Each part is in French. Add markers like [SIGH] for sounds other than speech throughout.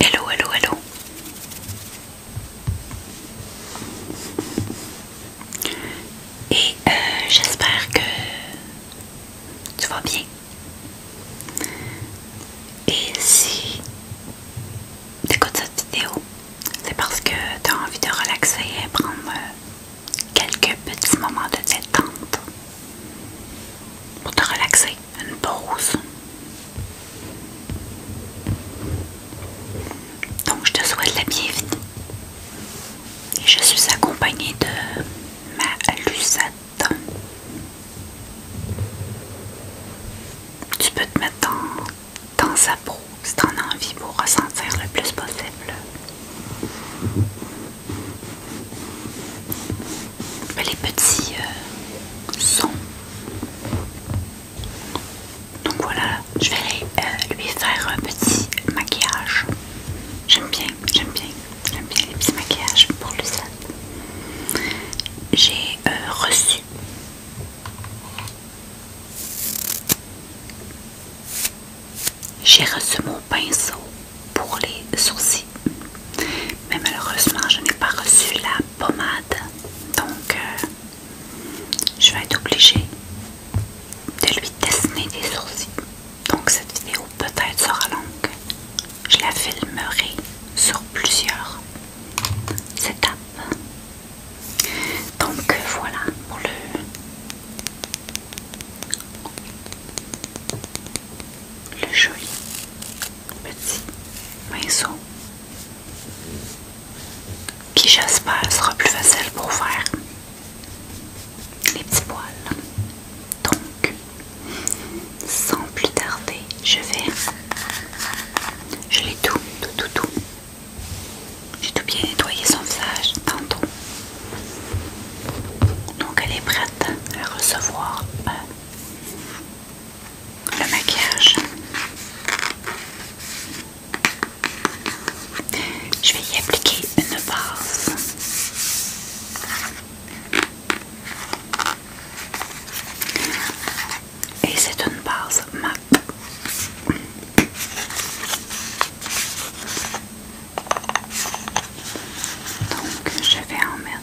Hello, hello, hello. Et euh, j'espère que tu vas bien. Et si tu écoutes cette vidéo, c'est parce que tu as envie de relaxer et prendre euh, quelques petits moments de détente pour te relaxer, une pause. Donc je te souhaite la bienvenue. Et je suis accompagnée de ma Lucette. Tu peux te mettre dans, dans sa peau si tu en as envie pour ressentir le plus possible. Bah, les petits euh, sons. Donc voilà, je vais euh, lui faire un petit maquillage. J'aime bien, j'aime bien, j'aime bien les petits maquillages pour lui. J'ai euh, reçu j'ai reçu mon pinceau pour les sourcils. Mais malheureusement, je n'ai pas reçu la pommade. Donc, euh, je vais être obligée de lui dessiner des sourcils. Donc, cette vidéo peut-être sera longue. Je la filmerai sur plusieurs étapes. Donc, voilà pour le le joli petit pinceau qui j'espère sera plus facile pour faire les petits poils. Donc, sans plus tarder, je vais... Je l'ai tout, tout, tout, tout. J'ai tout bien nettoyé son visage tantôt. Donc, elle est prête à recevoir... Euh, le maquillage. Je vais y appliquer une base. Et c'est une base M.A.P Donc je vais en mettre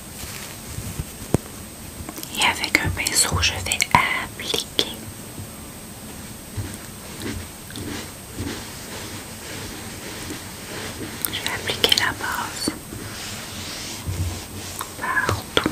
Et avec un pinceau, je vais appliquer. Je vais appliquer la base partout.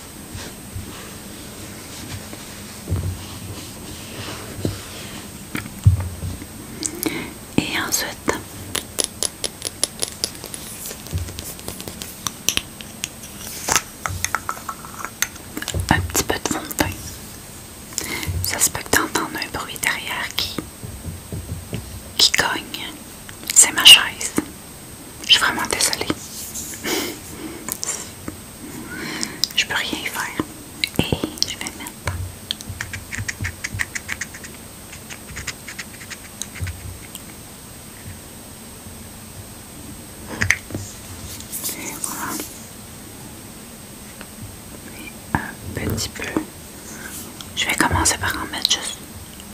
Et ensuite, un petit peu de fond de Ça se peut que tu entendes un bruit derrière qui, qui cogne. C'est ma chaise. Je suis vraiment désolée. Je peux rien y faire. Et je vais mettre. un petit peu. Je vais commencer par en mettre juste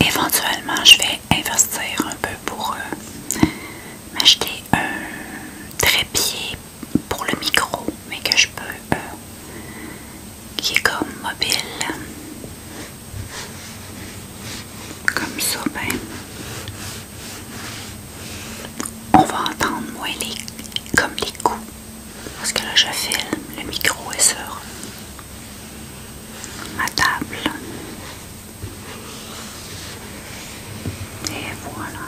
Éventuellement, je vais investir un peu pour euh, m'acheter un trépied pour le micro, mais que je peux, euh, qui est comme mobile, comme ça, ben, on va entendre moins les, comme les coups, parce que là je filme, le micro est sur ma table. Et voilà.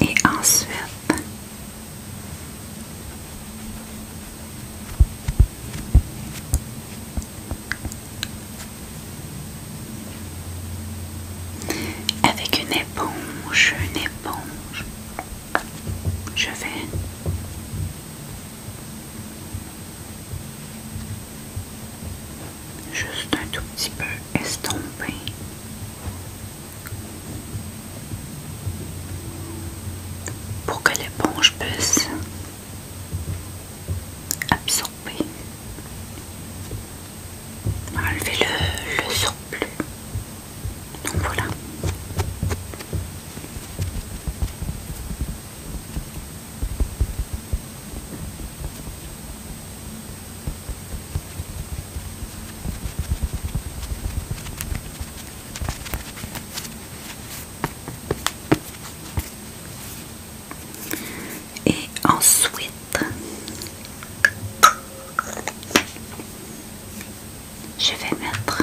Et ensuite, avec une éponge, une éponge, je vais juste un tout petit peu estompé. Pour que l'éponge puisse absorber, enlever le, le surplus. Donc voilà. Et ensuite, je vais mettre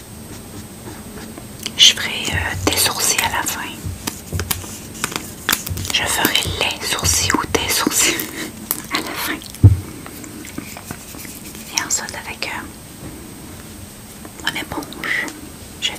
Je ferai des euh, sourcils à la fin. Je ferai les sourcils ou des sourcils [LAUGHS] à la fin. Et ensuite avec on euh, mon éponge, je vais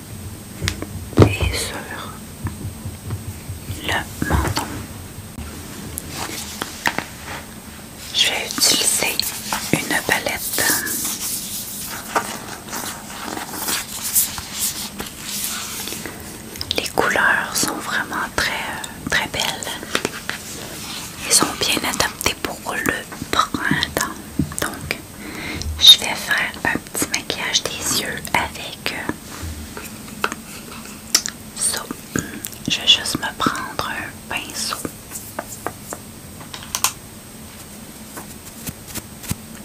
et sur le menton. Je vais utiliser une palette. Les couleurs sont vraiment très très belles. Ils sont bien adaptées pour le printemps. Donc je vais faire un petit maquillage des yeux avec euh, ça. Je vais juste me prendre un pinceau.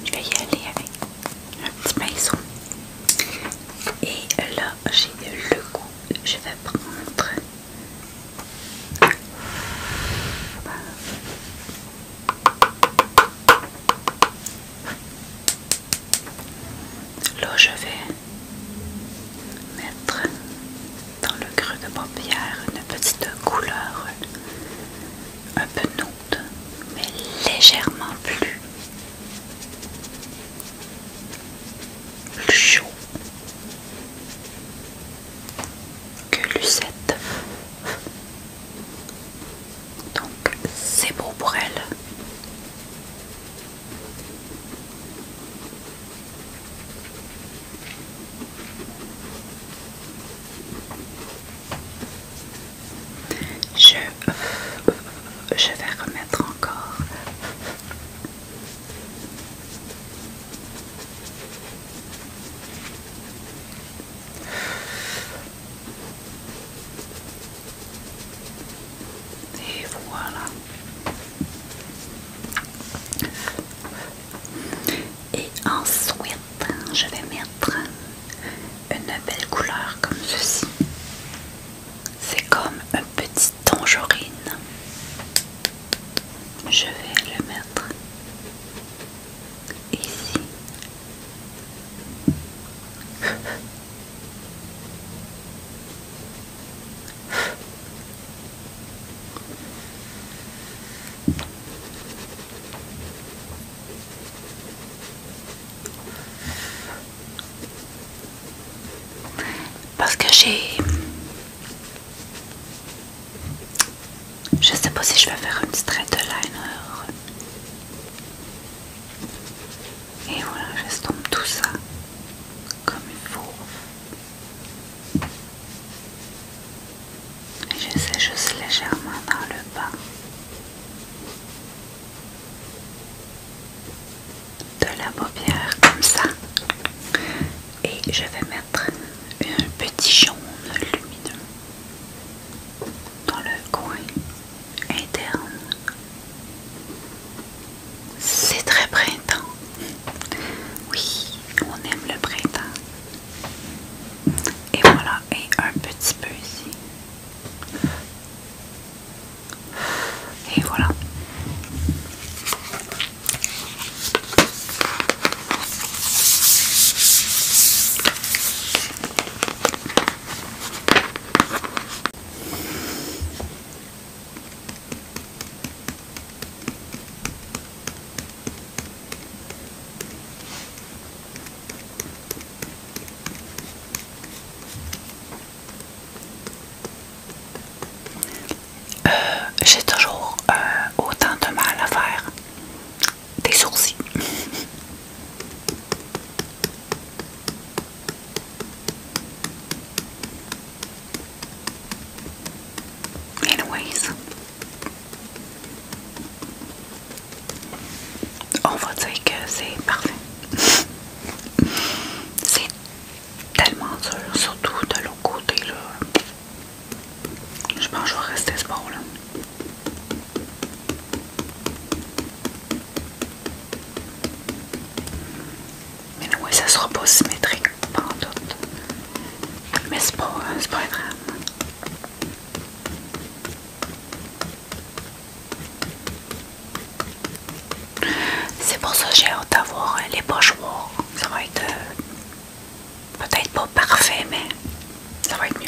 Je vais y aller avec un petit pinceau. Et là, j'ai le goût. Je vais prendre Là, je vais mettre dans le creux de paupière une petite couleur un peu nude, mais légèrement plus chaud que Lucette. Donc c'est beau pour elle. Je, je vais remettre encore. Et voilà. Et ensuite, je vais mettre une belle couleur comme ceci. C'est comme un petit tangerine. Je vais le mettre ici. Parce que j'ai je sais pas si je vais faire une petit de liner. Et voilà, j'estompe tout ça comme il faut. Et j'essaie juste légèrement dans le bas de la paupière comme ça. Et je vais mettre un petit jaune lumineux dans le coin interne. C'est très printemps. Oui, on aime le printemps. Et voilà, et un petit peu ici. Et voilà. Euh, j'ai toujours euh, autant de mal à faire des sourcils. Anyways, on va dire que c'est parfait. [LAUGHS] c'est tellement dur, surtout de l'autre côté je pense que je vais rester ce bord là. Mais oui, ça sera pas symétrique en doute Mais c'est pas, euh, pas C'est pour ça que j'ai hâte d'avoir euh, les poches pochoirs. Ça va être euh, Peut-être pas parfait, mais ça va être mieux.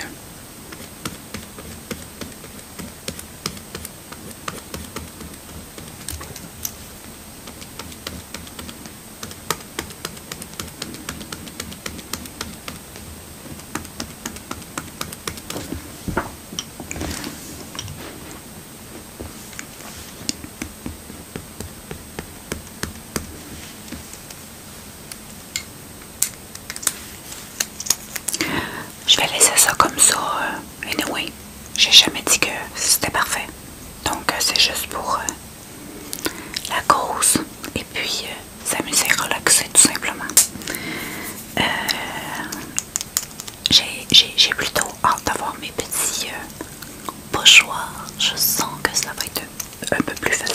Je vais laisser ça comme ça. Et euh, anyway, j'ai jamais dit que c'était parfait. Donc, euh, c'est juste pour euh, la cause et puis s'amuser, relaxer tout simplement. j'ai plutôt hâte d'avoir mes petits pochoirs. Je sens que ça va être un peu plus facile.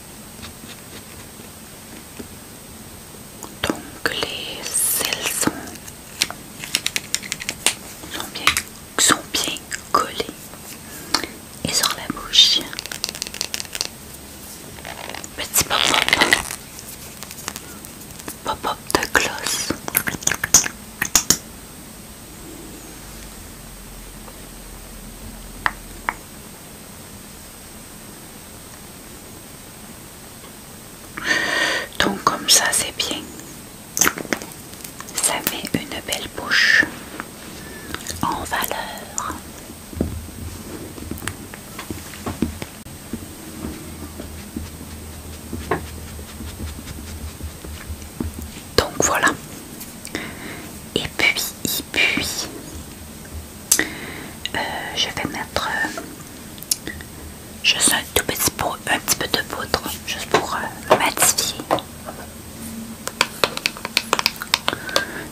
Donc les cils sont, bien, sont collés et sur la bouche. Petit pop-up. Pop-up de gloss. Donc comme ça c'est bien. Ça met une belle bouche en valeur. Donc voilà, et puis, et puis, euh, je vais mettre je euh, juste un tout petit, un petit peu de poudre, juste pour euh, matifier.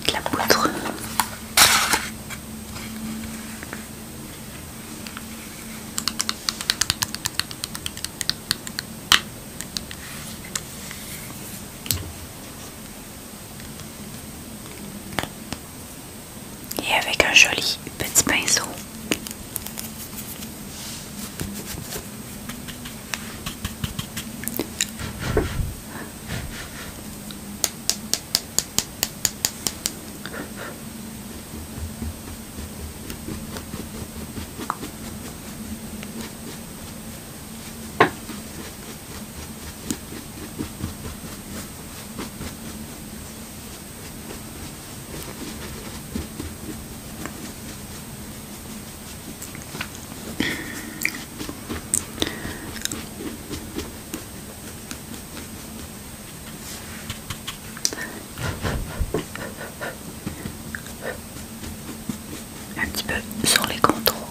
De la poudre et avec un joli petit pinceau un petit peu sur les contrôles.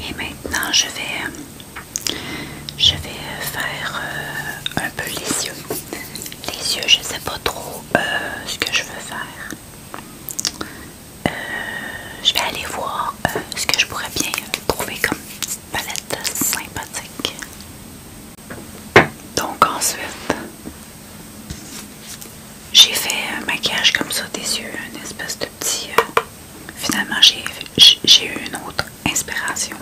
Et maintenant je vais je vais faire euh, un peu les yeux. Les yeux, je sais pas trop euh, ce que je veux faire. Euh, je vais aller voir ce que je pourrais bien trouver comme palette sympathique. Donc ensuite, j'ai fait un maquillage comme ça des yeux, une espèce de petit... Euh, finalement, j'ai eu une autre inspiration.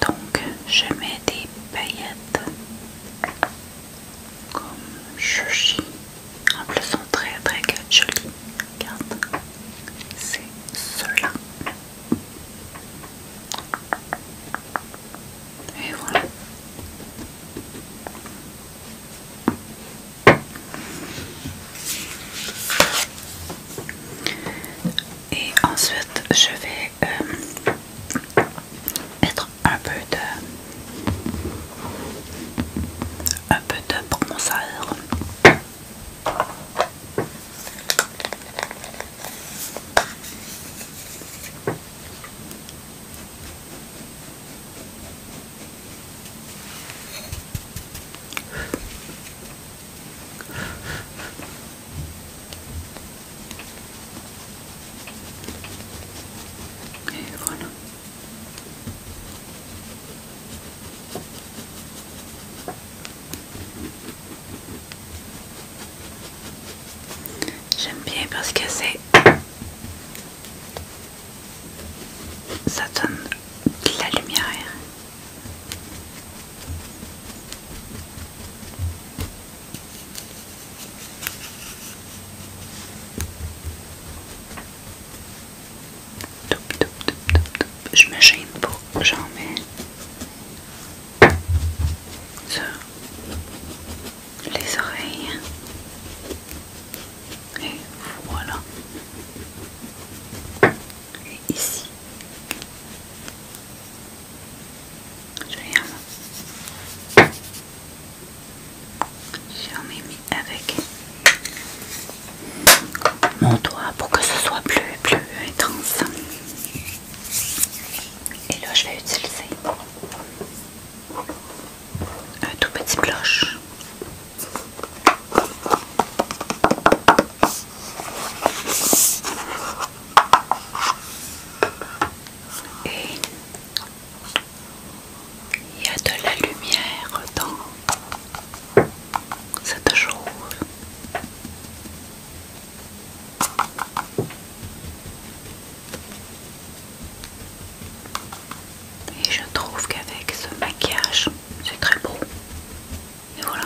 Donc, je mets des paillettes comme ceci. En plus, sont très très jolies. Regarde, c'est cela. Et ensuite, je vais mettre euh, un peu de un peu de bronzer. J'aime bien parce que c'est ça donne la lumière. Je me gêne pour j'en mets les oreilles. Et voilà. Et ici. Je viens. J'en ai mis avec mon doigt pour que ce soit plus, plus intense. Et là, je vais utiliser un tout petit cloche. Et il y a de la lumière dans cette chose. Et je trouve qu'avec ce maquillage, c'est très beau. Et voilà.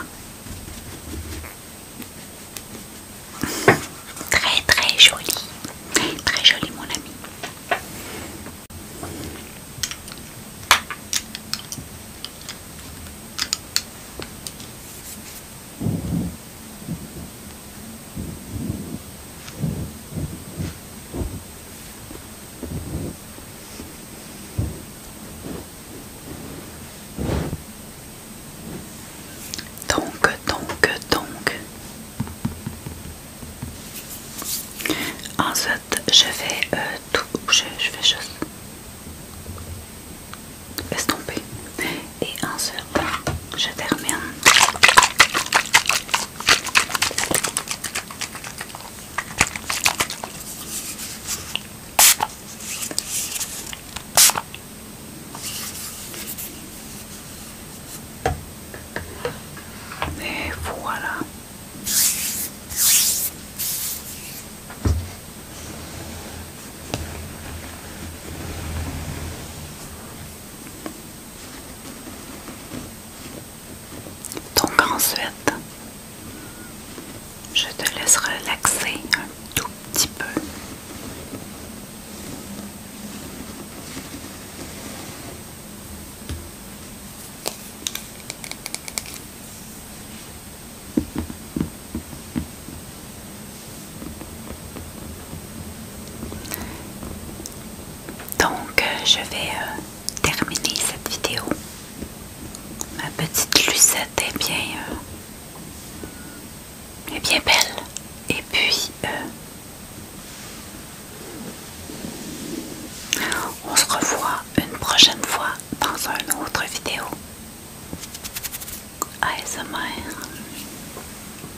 [LAUGHS] Très très joli. Très joli mon ami. Donc, donc, donc. Ensuite, je vais euh, tout. Je, je vais juste estomper et en ce je termine. Et voilà. Donc ensuite, je te laisse relaxer un tout petit peu. Donc, euh, je vais euh, terminer cette vidéo. Ma petite Lucette est bien, euh, bien belle. Et puis, on se revoit une prochaine fois dans une autre vidéo. ASMR.